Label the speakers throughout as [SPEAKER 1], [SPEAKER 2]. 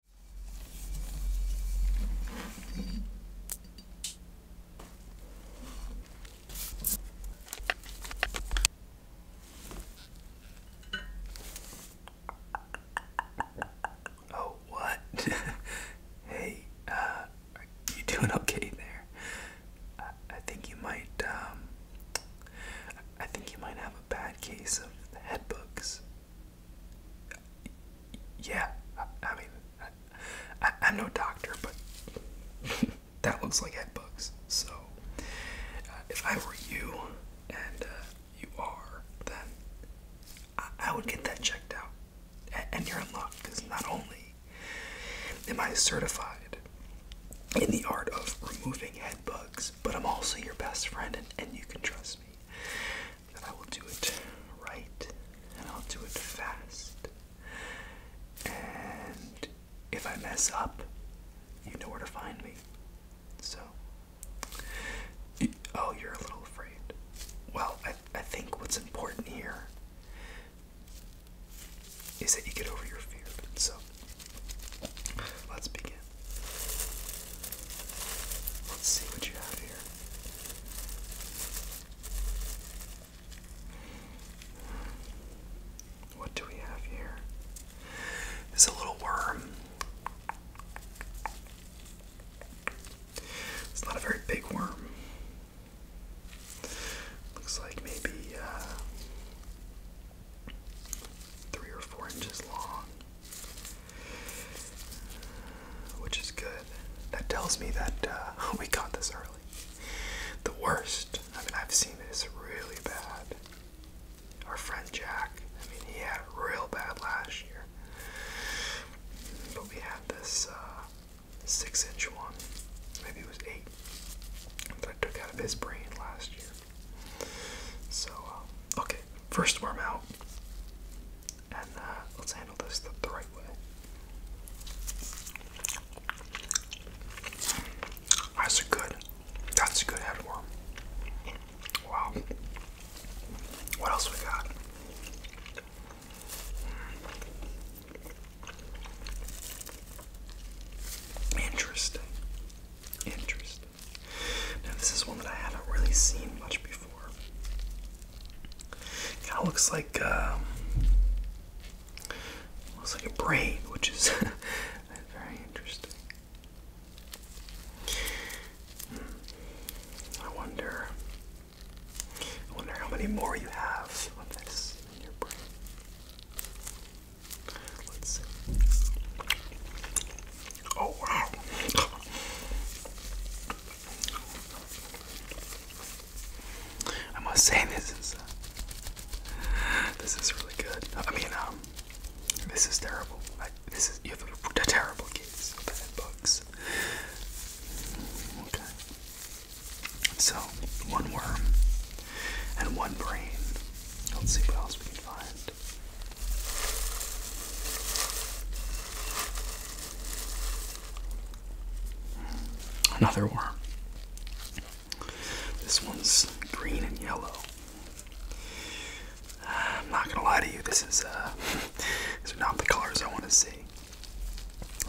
[SPEAKER 1] Oh, what? hey, uh, are you doing okay there? I, think you might, um, I think you might have a bad case of the head bugs yeah, I, mean, I, am no doctor, but that looks like head bugs. So, uh, if I were you, and uh, you are, then I, would get that checked out. and you're in luck, because not only am I certified in the art of removing head bugs, but I'm also your best friend, and, and you can trust me that I will do it right and I'll do it fast. And if I mess up, you know where to find me. So, oh, you're a little afraid. Well, I, I think what's important here is that you get over your fear. So, let's begin. Let's see what you have here. What do we have here? There's a little worm. It's not a very big worm. Looks like maybe uh, three or four inches long. Which is good. That tells me that uh, we got this early. The worst, I mean, I've seen this really bad. Our friend Jack, I mean, he had it real bad last year. But we had this uh, six inch one, maybe it was eight, that I took out of his brain last year. So, uh, okay, first worm out. And uh, let's handle this the, right way. That's a good, that's a good headworm. Wow. What else we got? Hmm. Interesting. Interesting. Now, this is one that I haven't really seen much before. kind of looks like um, looks like a brain, which is very interesting. Hmm. I wonder. I wonder how many more you have of this in your brain. Oh wow. I must say this is uh, this is really good. I mean, um, this is terrible. I, this is you have a, terrible case of bugs. Okay. So one worm and one brain. Let's see what else we Another worm. This one's green and yellow. I'm not gonna lie to you, this is uh, these are not the colors I want to see.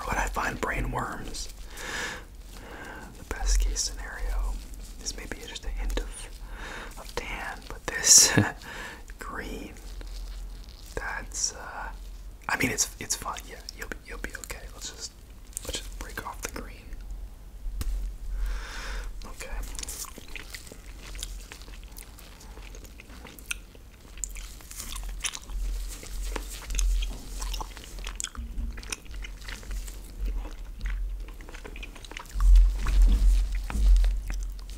[SPEAKER 1] When I find brain worms, the best case scenario is maybe just a hint of, of tan, but this green, that's, uh, I mean, it's it's fine. Yeah, you'll be you'll be okay. Let's just let's just break off the green. Okay.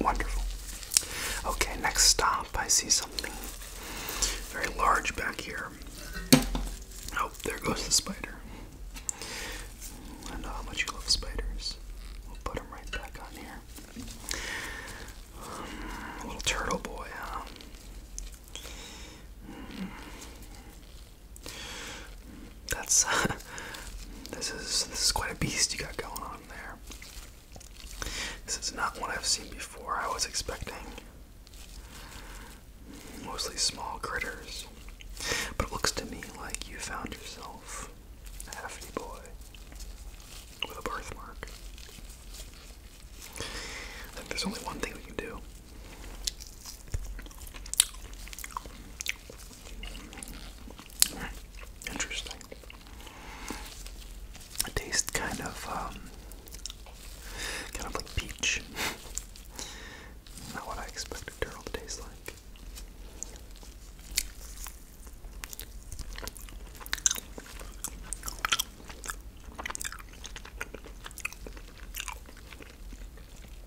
[SPEAKER 1] Wonderful. Okay, next stop. I see something very large back here. Oh, there goes the spider. I know how much you love spiders. We'll put him right back on here. Um, little turtle boy, hmm. That's this is this is quite a beast you got going on there. This is not what I've seen before. I was expecting mostly small critters. But it looks to me like you found yourself a hefty boy with a birthmark. I think there's only one thing we can do. Interesting. It tastes kind of, um, kind of like peach. Not what I expect turtle to taste like.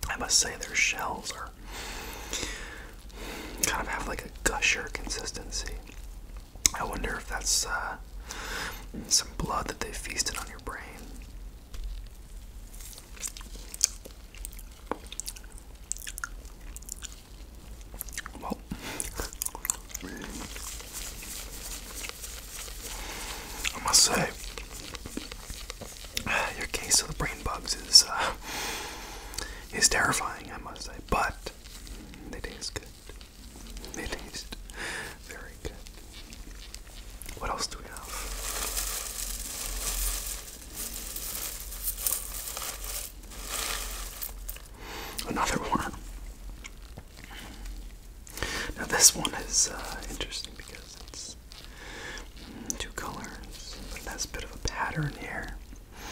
[SPEAKER 1] I must say their shells are kind of have like a gusher consistency. I wonder if that's uh, some blood that they feasted on your brain. I must say, your case of the brain bugs is uh, is terrifying. I must say, but they taste good. They taste very good. What else do we have? Another one. Now this one is uh, interesting because it's mm, two colors, but it has a bit of a pattern here.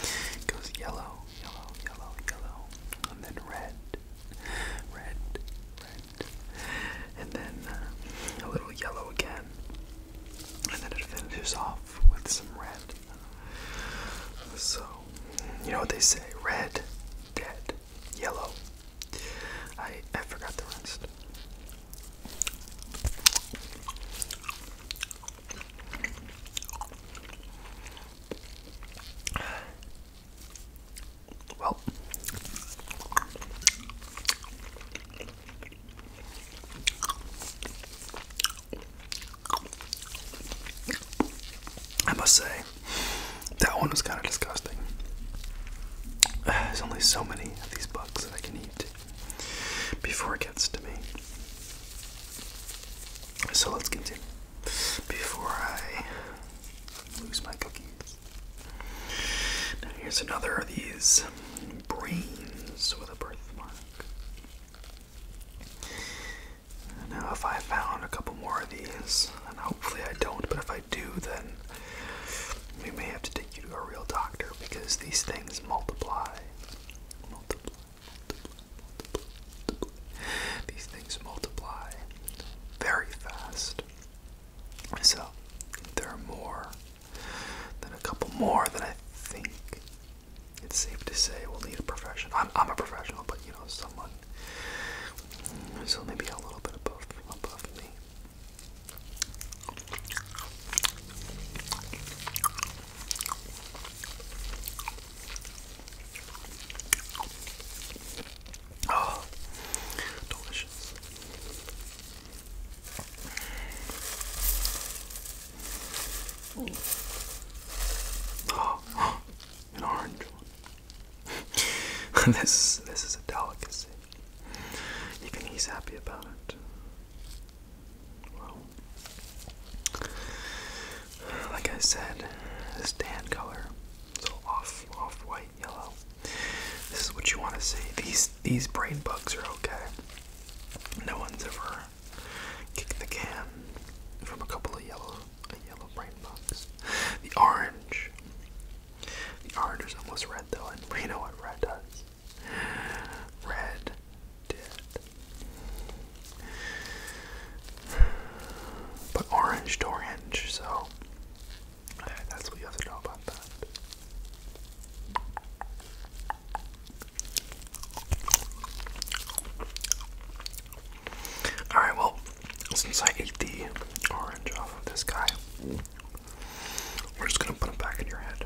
[SPEAKER 1] It goes yellow, yellow, yellow, yellow, and then red, red, red, and then uh, a little yellow again, and then it finishes off with some red. So, you know what they say, red, dead, yellow. I I forgot the rest. Well, I must say, that one was kind of disgusting. There's only so many of these bugs that I can eat before it gets to me. So let's continue. Before I lose my cookies. Now here's another of these brains with a birthmark. Now if I found a couple more of these, then Hopefully I don't, but if I do, then we may have to take you to a real doctor because these things multiply. These things multiply very fast. So there are more than a couple more than I think it's safe to say we'll need a professional. I'm a professional, but you know, someone so maybe a little bit above above me. Oh, delicious. Oh, an orange this this is a delicacy. Even he's happy about it. Well, like I said, this tan color, so off off white yellow. This is what you want to see. These these brain bugs are okay. No one's ever kicked the can from a couple of yellow a yellow brain box. The orange. The orange is almost red though, and we know what red does. Red did. But orange to orange, so that's what you have to know about that. Alright, well, since I ate the orange off of this guy, we're just gonna put it back in your head.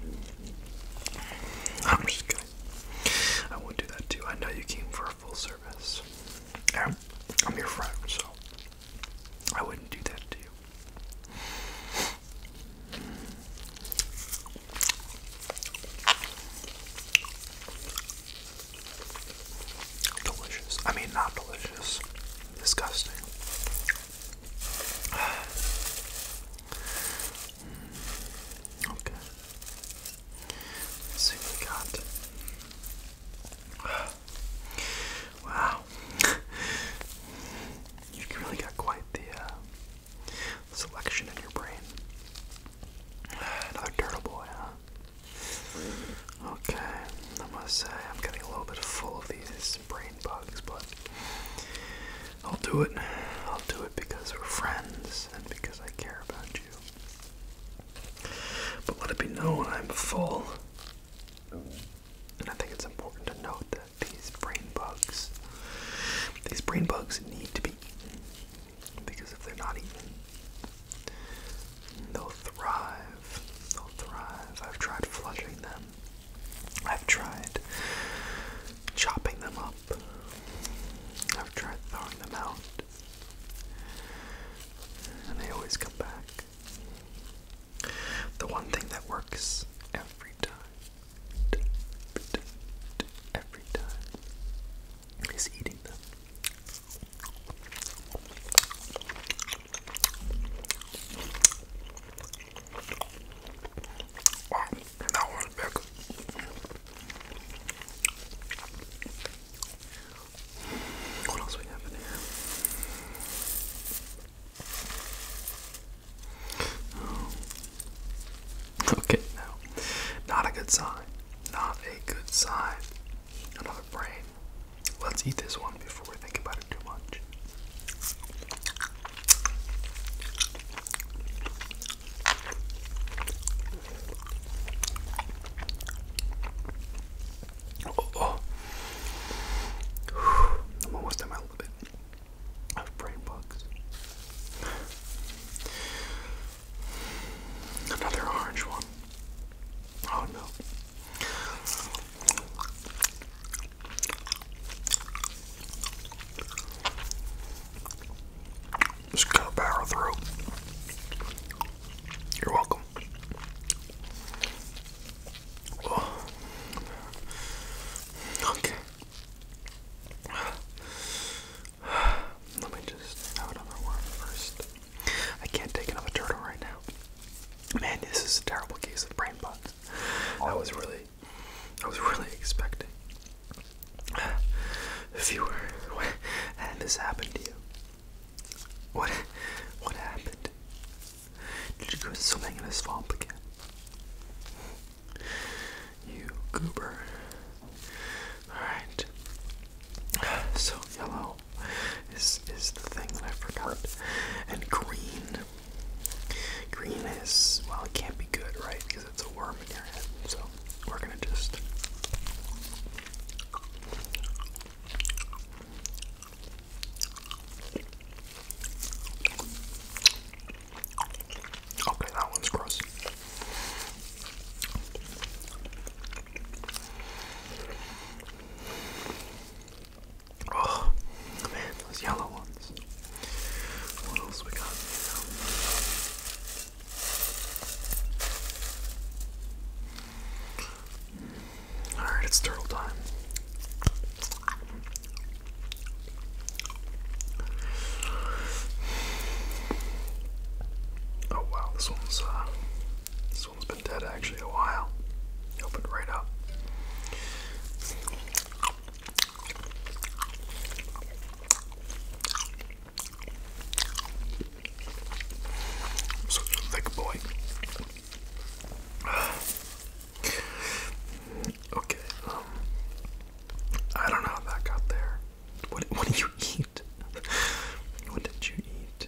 [SPEAKER 1] I'm just kidding. I won't do that too. I know you came for a full service. I'm your friend, so I wouldn't do that to you. Delicious. I mean, not delicious. Disgusting. Okay. Let's see what we got. Wow. you really got quite the uh, selection in your brain. Another turtle boy, huh? Okay, I must say I'm getting a little bit full of these brain bugs, but I'll do it. I'll do it because we're friends and because I care about you. But let it be known I'm full. And I think it's important to note that these brain bugs, these brain bugs need to be because if they're not eaten, they'll thrive. They'll thrive. I've tried flushing them. I've tried chopping them up. I've tried throwing them out. And they always come back. The one thing that works every time, every time, He's eating them. Wow, that one's big. What else we have in here? Okay, no. Not a good sign. Not a good sign. Another brain. Let's eat this one before we think about it too much. Oh, oh. I'm almost at of brain bugs. Another orange one. Oh no. Just gotta through. You're welcome. Oh. Okay. Let me just have another one first. I can't take another turtle right now. Man, this is a terrible case of brain bugs. I was really, I was really expecting. If you were, and this happened to you, what, what happened? Did you go swimming in a swamp again? You goober. Alright. So yellow is is the thing that I forgot. And green. Green is well it can't be good, right? Because it's a worm in your head. So we're gonna just Okay, that one's gross. Oh those yellow ones. What else we got Alright, it's turtle time. Oh wow, this one's uh, this one's been dead actually a while. opened right up. Such a thick boy. okay, um, I don't know how that got there. What did you eat? what did you eat?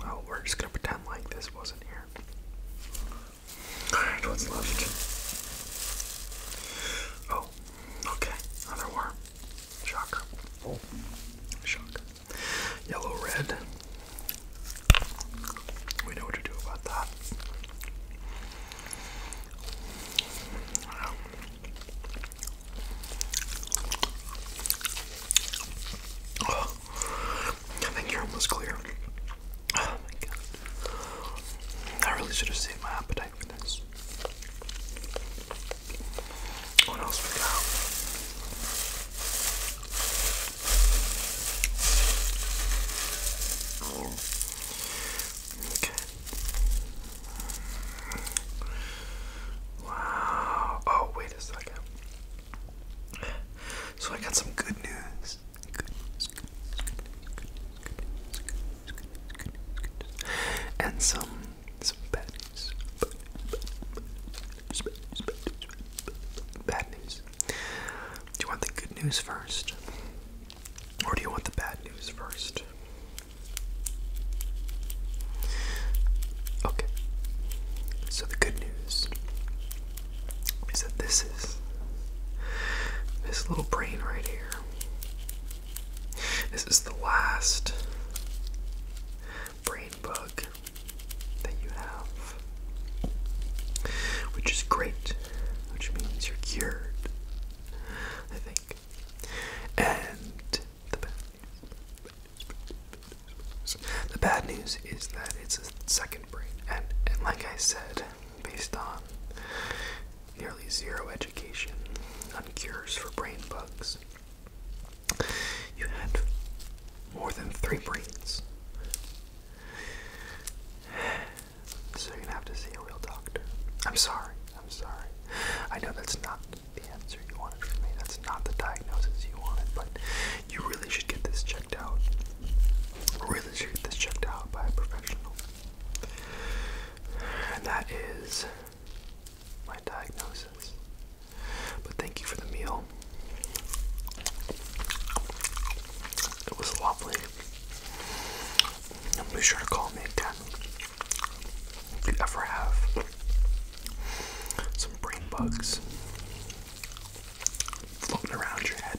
[SPEAKER 1] Well, we're just gonna pretend like this wasn't here. Alright, what's left? Oh, okay. Another Shocker. Oh. Shocker. Yellow red. We know what to do about that. I think you're almost clear. Oh my god. I really should have saved my appetite for this. What else we got? Okay. Wow. Oh, wait a second. So I got some good news. And some some bad news, bad news. Do you want the good news first? Or do you want the bad news first? Okay. So the good news is that this is this little brain right here. This is the last brain bug that you have which is great, which means you're cured, I think. And the bad news, the bad news is that it's a second brain, and and like I said, based on nearly zero education none cures for brain bugs. You had more than three brains. So you're gonna have to see a real doctor. I'm sorry. I'm sorry. I know that's not the answer you wanted from me. That's not the diagnosis you wanted, but you really should get this checked out. Really should get this checked out by a professional. And that is my diagnosis. But thank you for the meal. It was lovely. be sure to call me again if you ever have some brain bugs floating around your head.